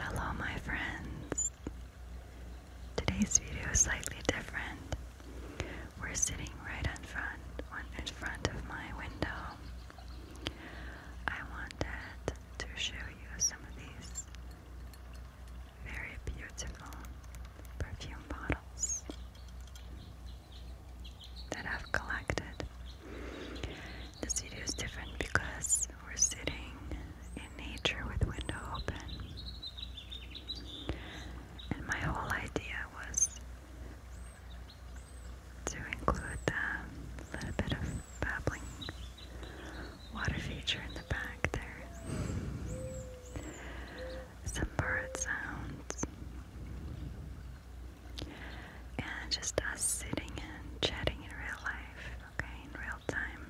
Hello, my friends. Today's video is slightly different. We're sitting right in front, in front of my window. I wanted to show you some of these very beautiful perfume bottles that I've collected. This video is different because we're sitting in nature with window open. And my whole idea was to include a little bit of babbling water feature in the back there. Some bird sounds and just us sitting and chatting in real life, okay, in real time.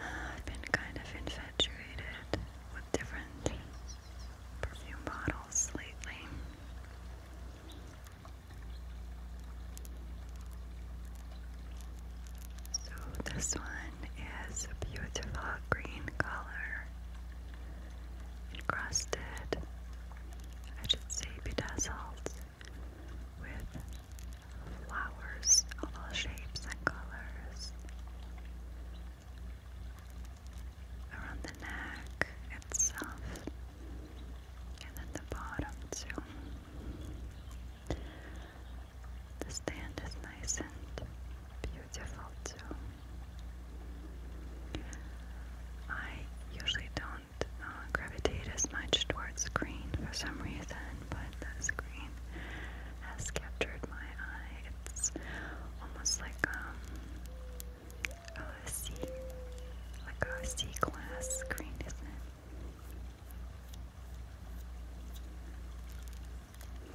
I've been kind of infatuated with different perfume bottles lately. So this one is a beautiful green color. Encrusted, I should say bedazzled, with flowers of all shapes and colors. Around the neck itself, and then the bottom too. The stand is nice and beautiful too. I usually don't uh, gravitate as much towards green for some reason, but this green has captured my eye. It's almost like um, a sea, like a sea glass green, isn't it?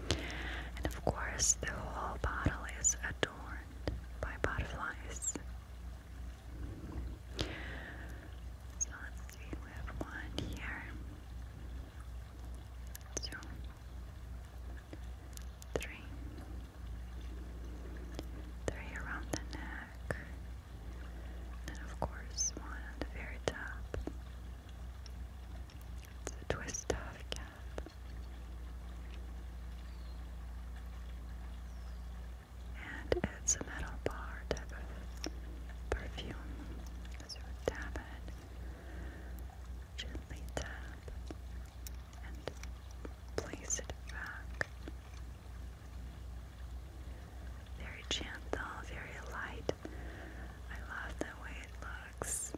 And of course, the whole bottle is adorned by butterflies. So let's see, we have one here, two, three, three around the neck, and of course, one at the very top. It's a twist off cap. And it's a metal bar type of perfume. So tap it, gently tap, and place it back. Very gentle, very light. I love the way it looks box.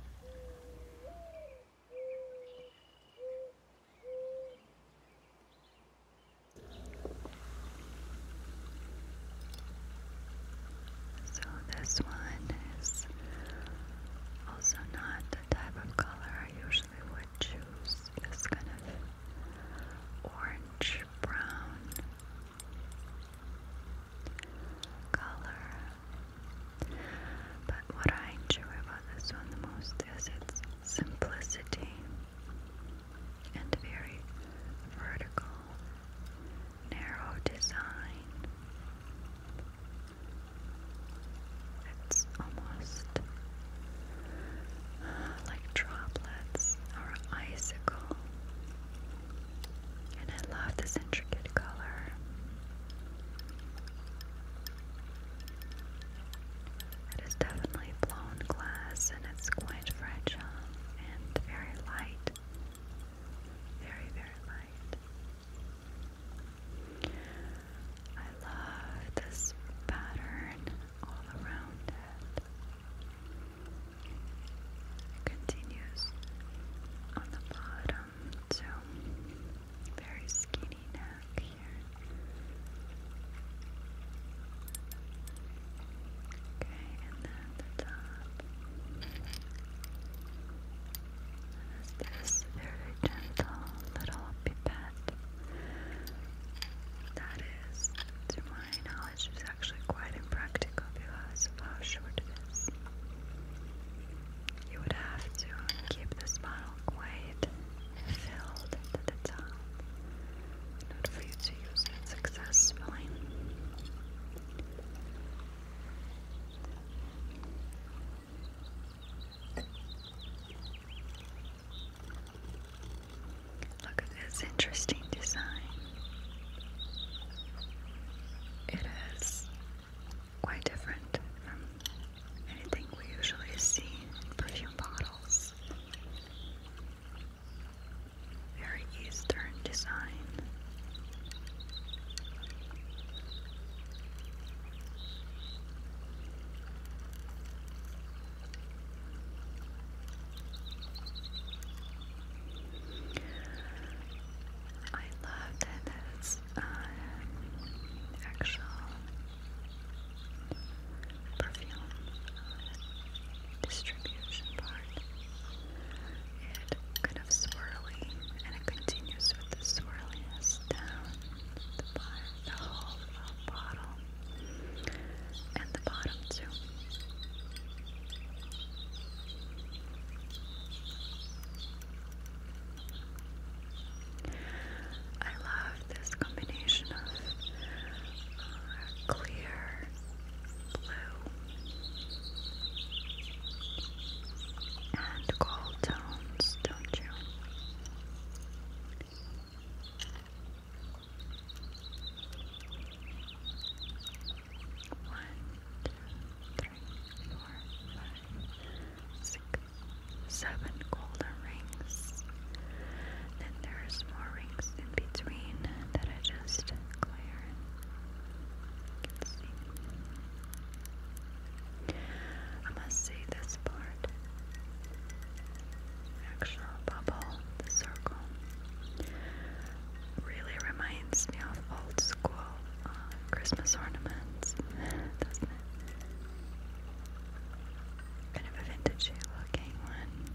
So, this one is also not the type of color I usually would choose. It's kind of orange brown color. But what I enjoy about this one the most is its simplicity and very vertical, narrow design. It's almost uh, like droplets or an icicle and I love this intricate color. It is definitely blown glass and it's quite fragile and very light. Very, very light. I love this pattern all around it continues on the bottom, so very skinny neck here. Okay, and then the top has this very gentle little pipette that is, to my knowledge, is actually quite impractical because of how short it is. You would have to keep this bottle quite filled to the top in order for you to use it successfully. Look at this interesting design. It is quite different from anything we usually see in perfume bottles. Very Eastern design. I love that it's um, actual perfume uh, distribution part. It kind of swirly, and it continues with the swirliness down the, whole bottle and the bottom too. I love this combination of uh, clear blue and gold tones, don't you? One, two, three, four, five, six, seven golden rings. Then there's more rings in between that I just cleared. I must say this part. Actual bubble, the circle, really reminds me of old cool um, Christmas ornaments, doesn't it? Kind of a vintage looking one.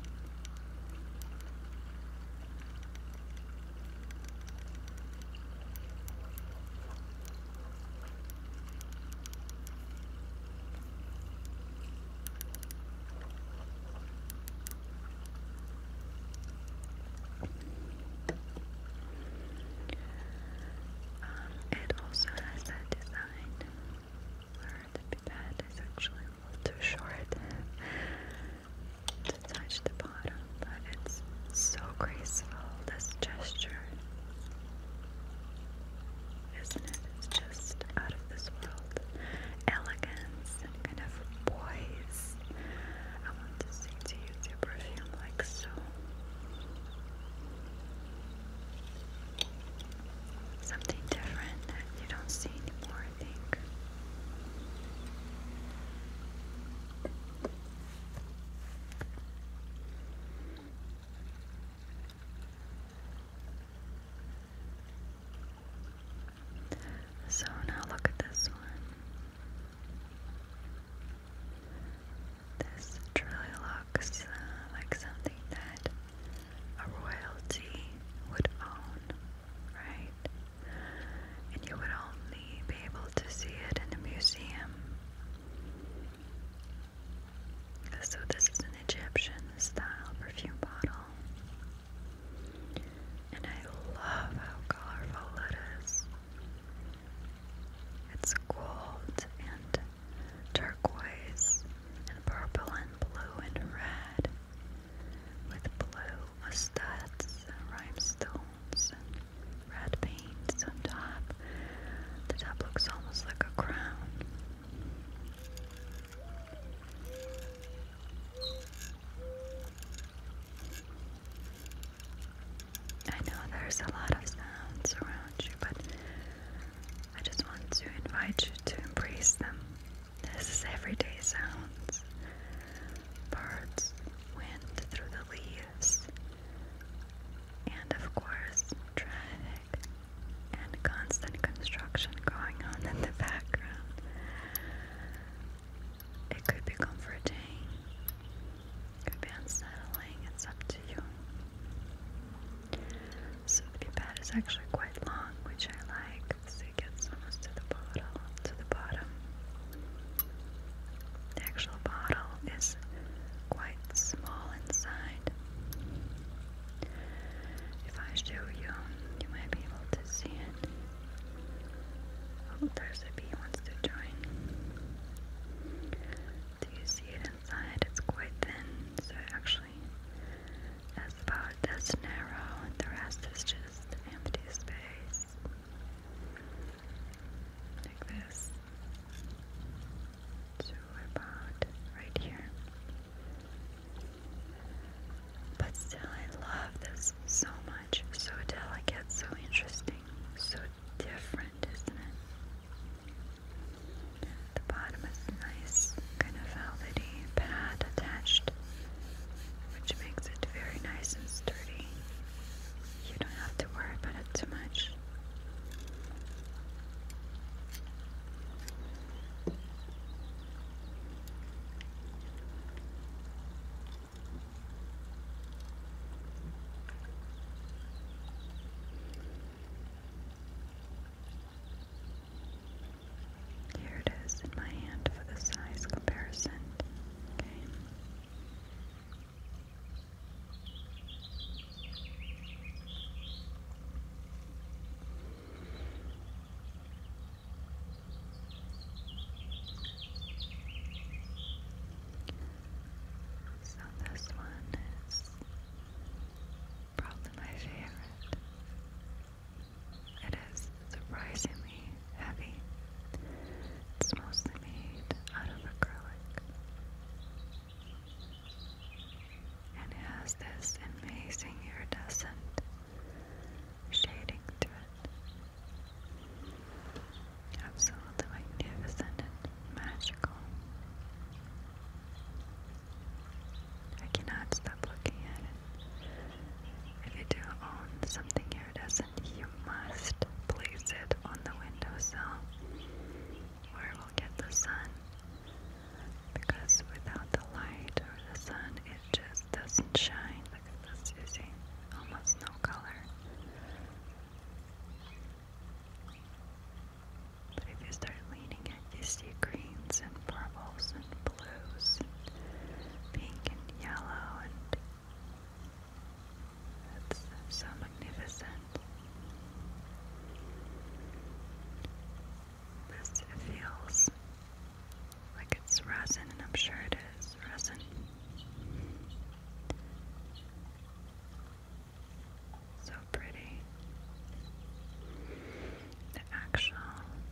Um, it also has that design where the pipette is actually a little too short to touch the bottom, but it's so graceful, this gesture. Isn't it? It's just out of this world. Elegance kind of voice. I want to sing to you your perfume like so. Something different that you don't see anymore, I think. So now look at this one. This truly looks uh, like something that a royalty would own, right? And you would only be able to see it in a museum. So, this is an Egyptian style perfume bottle. And I love how colorful it is. It's gold and turquoise and purple and blue and red with blue studs and rhinestones and red paint on top. The top looks almost like a crown. I know there's a lot of sounds around you, but I just want to invite you to embrace them. This is everyday sounds. Birds, wind through the leaves, and of course, traffic and constant construction going on in the background. It could be comforting, could be unsettling, it's up to you. So the pipette is actually quite long, which I like, so it gets almost to the bottle to the bottom. The actual bottle is quite small inside. If I show you, you might be able to see it. Oh, there's a bee wants to join. Do you see it inside? It's quite thin, so actually that's about that's narrow and the rest is just empty space. Like this. So about right here. But still I love this so much, so delicate, so interesting, so different, isn't it? The bottom is nice kind of velvety pad attached, which makes it very nice and sturdy. You don't have to worry about it too much. Here it is in my hand for the size comparison. Okay. So this one is probably my favorite. It is surprisingly heavy. It's mostly made out of acrylic. And it has this amazing iridescent shading to it. Absolutely magnificent and magical. I cannot stop looking at it. If you do own something here doesn't, you must place it on the windowsill where it will get the sun. Because without the light or the sun, it just doesn't shine. Look at this, you Almost no color. But if you start leaning it, you see greens and purples and blues and pink and yellow and that's so magnificent. This feels like it's resin, and I'm sure it is resin. So pretty. The actual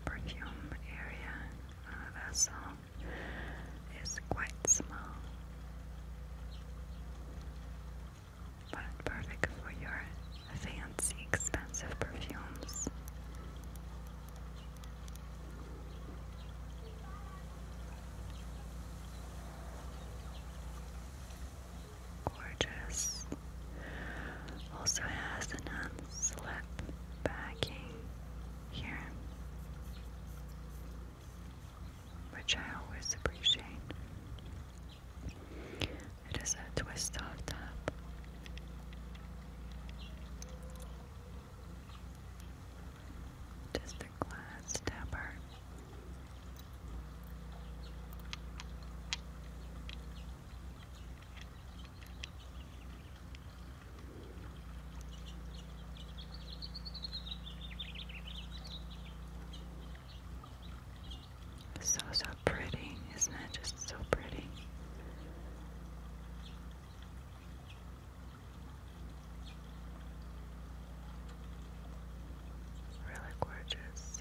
perfume area vessel is quite small, but perfect for your fancy, expensive perfumes. Gorgeous. Also has an unslip backing here, which I always appreciate. It is a twist off top. Just a glass stopper. So, so pretty, isn't it? Just so pretty. Really gorgeous.